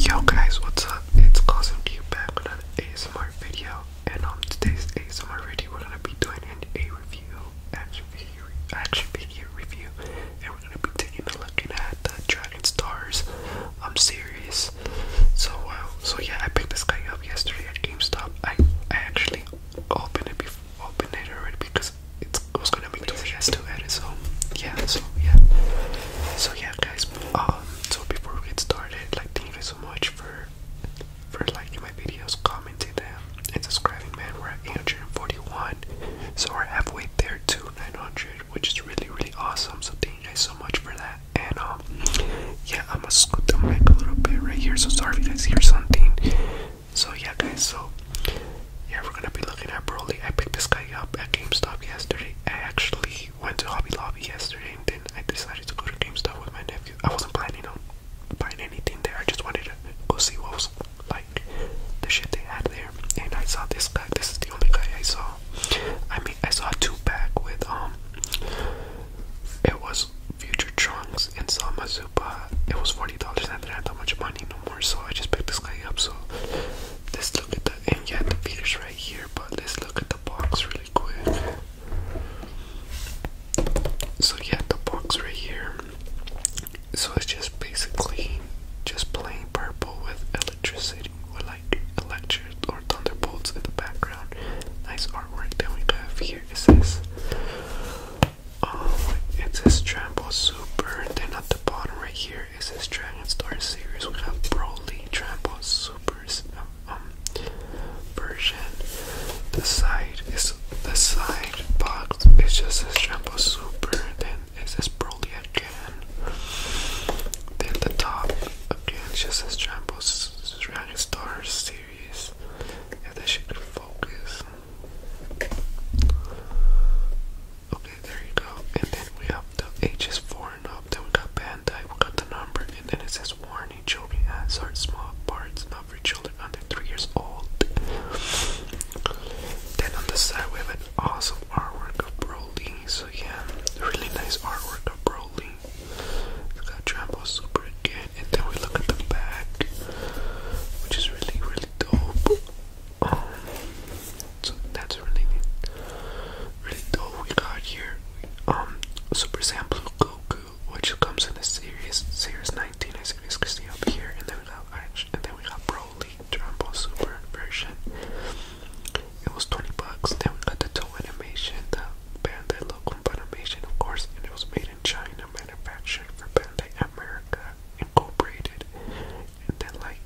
Yo guys, what's up? It's Cosm to back with an ASMR video and on today's ASMR video we're gonna be doing an A review, action video, action video review and we're gonna be taking a look at the Dragon Stars I'm serious. So wow. So yeah, I picked this guy up yesterday at GameStop. I I actually opened it before, opened it already because it's, it was gonna be too fast to edit. So yeah. So yeah. So yeah, guys. Um. So before we get started, like thank you so much for for liking my videos, commenting them, and subscribing. Man, we're at 841, so we're halfway there to 900, which is really really awesome. So thank you guys so much for that. And um, yeah, I'm gonna scoot the mic a little bit right here. So sorry if you guys hear something. So yeah, guys. So yeah, we're gonna be looking at Broly. I picked this guy up at GameStop yesterday. I actually went to Hobby Lobby yesterday, and then I decided to go to GameStop with my nephew. I wasn't planning on buying anything there. I just wanted to go see what was like the shit they had there and I saw this guy. This is the only guy I saw. I mean, I saw two pack with um. It was Future Trunks and Sama Zupa. It was forty dollars, and I didn't have that much money no more, so I just picked this guy up. So let's look at the and yeah, the figure's right here, but let's look at the box really quick. So yeah, the box right here. So it's just basically just plain purple with electricity, with like or thunderbolts in the background. Nice artwork. Then we have here it says um, it says Trample Super. Then at the bottom right here it says Dragon Star series. We have Broly Trample Super's um, um, version. The side is the side box. It's just a Trample Super. Then is this Broly again. Then the top again just says Trampo's Dragon Star series. If that shit could focus. Okay, there you go. And then we have the H is four and up. Then we got Bandai. We got the number, and then it says warning: children ads are small parts, not for children under three years old. Then on the side we have awesome artwork of Broly. So yeah, really nice artwork of Broly. We got Trampo again, and then we look at the back, which is really really dope. Um, so that's really really dope. We got here um, Super Saiyan Blue Goku, which comes in a series series 19. series 60 up here, and then we got and then we got. Broly Super version. It was 20 bucks. Then we got the toe animation, the Bandai logo animation, of course, and it was made in China, manufactured for Bandai America Incorporated, and then like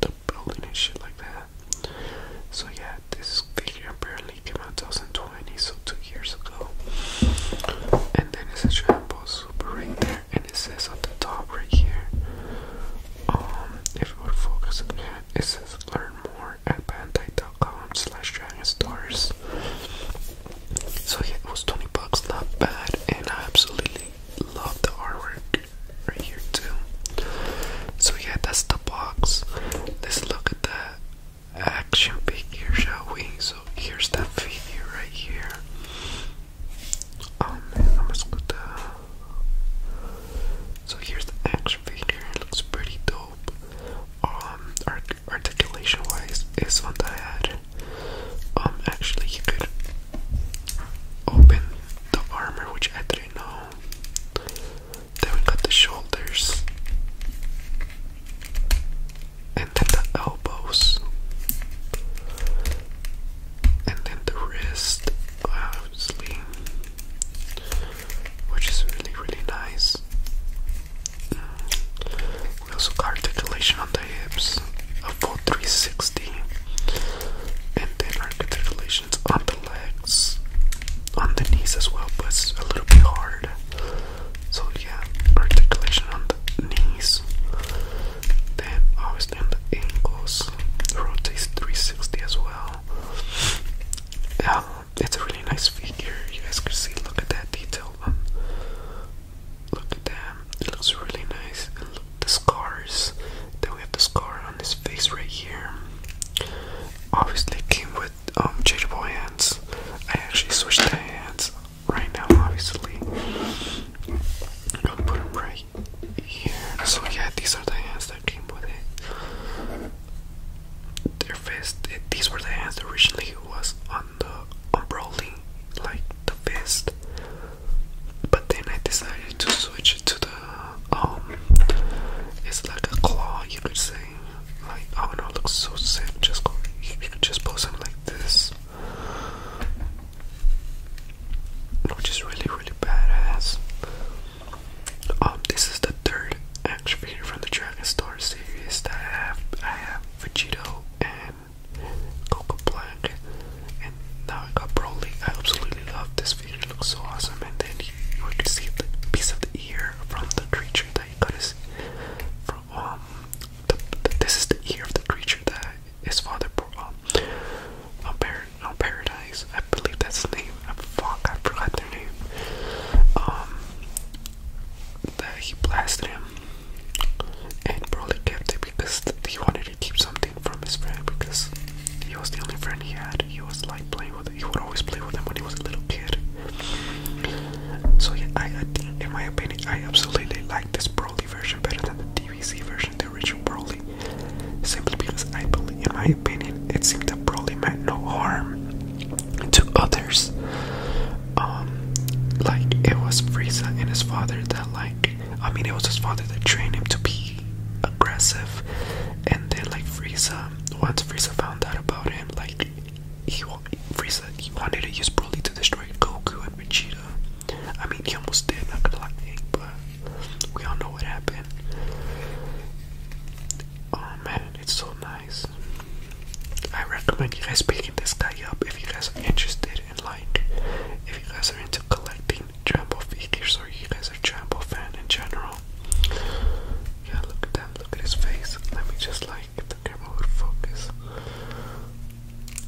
the building and shit like that. So yeah, this figure apparently came out 2020, so two years ago. And then it's a Trampo Super right and it says on the top right here. Um, if we would focus it says learn more at bandai.com slash dragon stars. So yeah, it was 20 bucks, not bad, and I absolutely love the artwork right here too. So yeah, that's the box. Let's look at that action figure, shall we? So here's that figure right here. Um, I'm just to uh, So here's the action figure. It looks pretty dope. Um, articulation wise, is one I had. Um, actually, you could open the armor, which I didn't know. Then we got the shoulders and then the elbows, and then the wrist, obviously, which is really, really nice. Mm. We also got articulation on the hips, a full 360, and then articulations on the legs, on the knees as well, but it's a little bit hard. So yeah, articulation on the knees. Then obviously on the ankles, rotates 360 as well. Um, it's a really nice figure. You guys can see. Look at that detail. Um, look at that. It looks really nice. And look, the scars. Then we have the scar on his face right here. Obviously, came with um, changeable hands. I actually switched the hands right now, obviously. I'm put them right here. So yeah, these are the hands that came with it. Their fist. these were the hands that originally was on the unrolling, like the fist. But then I decided to switch it to the um. It's like a claw, you could say. Like, I oh, do looks so sick. Just go, you could just post something like this. Which is really, really badass. Um, this is the third action figure from the Dragon Star series that I have. I have Vegito and Coco Black, and now I got Broly. I absolutely love this figure. It looks so awesome. And then you, you can see the piece of the ear from the creature that that from um this is the ear of the creature that his father brought um, um, um paradise. I believe that's the name. I fuck I forgot their name. Um that he blasted him and probably kept it because he wanted to keep something from his friend because he was the only friend he had. He was like playing with. He would always play with him when he was a little kid. So yeah, I, think, in my opinion, I absolutely like this Broly version better than the DVC version, the original Broly. Simply because I believe, in my opinion, it seemed that Broly meant no harm to others. Um, like it was Frieza and his father that, like, I mean, it was his father that trained him to be aggressive, and then like Frieza. Once Frieza found out about like he wanted to use Broly to destroy Goku and Vegeta. I mean he almost did, not gonna lie, but we all know what happened. Oh man, it's so nice. I recommend you guys picking this guy up if you guys are interested in like if you guys are into collecting Jumbo figures or you guys are Jumbo fan in general. Yeah, look at that. Look at his face. Let me just like if the camera would focus.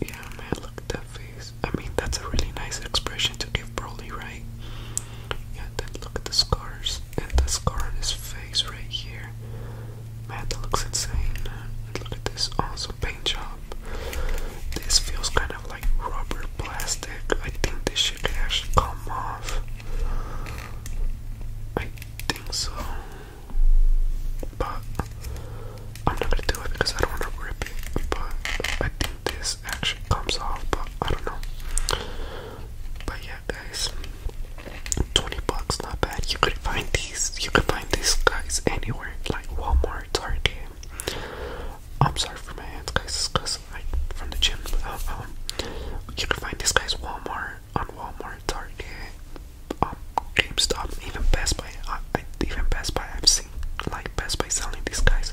Yeah, man, look at that face. I mean, that's a really nice expression to give Broly, right? Yeah, then look at the scars and the scar on his face right here. Man, that looks insane. look at this awesome paint job. This feels kind of like rubber plastic. I think this layers come off. I think so. But I'm not gonna do it because I don't wanna rip it. But I think this actually comes off, but I don't know. But yeah guys. 20 bucks, not bad. You could find these you could find these guys anywhere, like Walmart, Target. I'm sorry for my hands, guys, because I from the gym. Um, um, you can find this guy's Walmart on Walmart, Target, um, GameStop, even Best Buy. I, I, even Best Buy, I've seen like Best Buy selling these guys.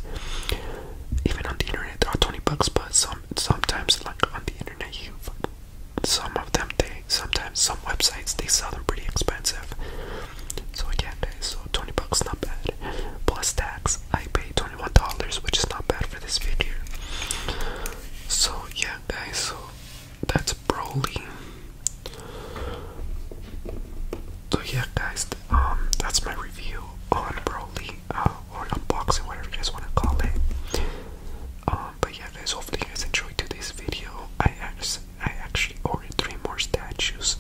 Even on the internet, they're twenty bucks. But some sometimes, like on the internet, you some of them they sometimes some websites they sell them pretty expensive. So again, guys, so twenty bucks not bad. Plus tax, I paid $21, which is not bad for this video. So, yeah, guys, so that's Broly. So, yeah, guys, um, that's my review on Broly, uh, or unboxing, whatever you guys want to call it. Um, but yeah, guys, hopefully you guys enjoyed today's video. I actually, I actually three more statues.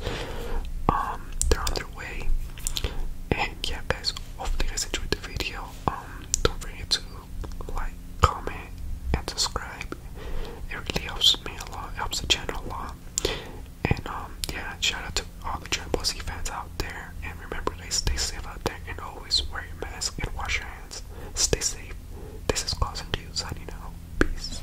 Um, they're on their way. And yeah, guys, hopefully you guys enjoyed the video. Um, don't forget to like, comment, and subscribe. It really helps me a lot. helps the channel a lot. And um, yeah, shout out to all the Triple C fans out there. And remember, guys, stay safe out there and always wear your mask and wash your hands. Stay safe. This is Claus and Dude signing Peace.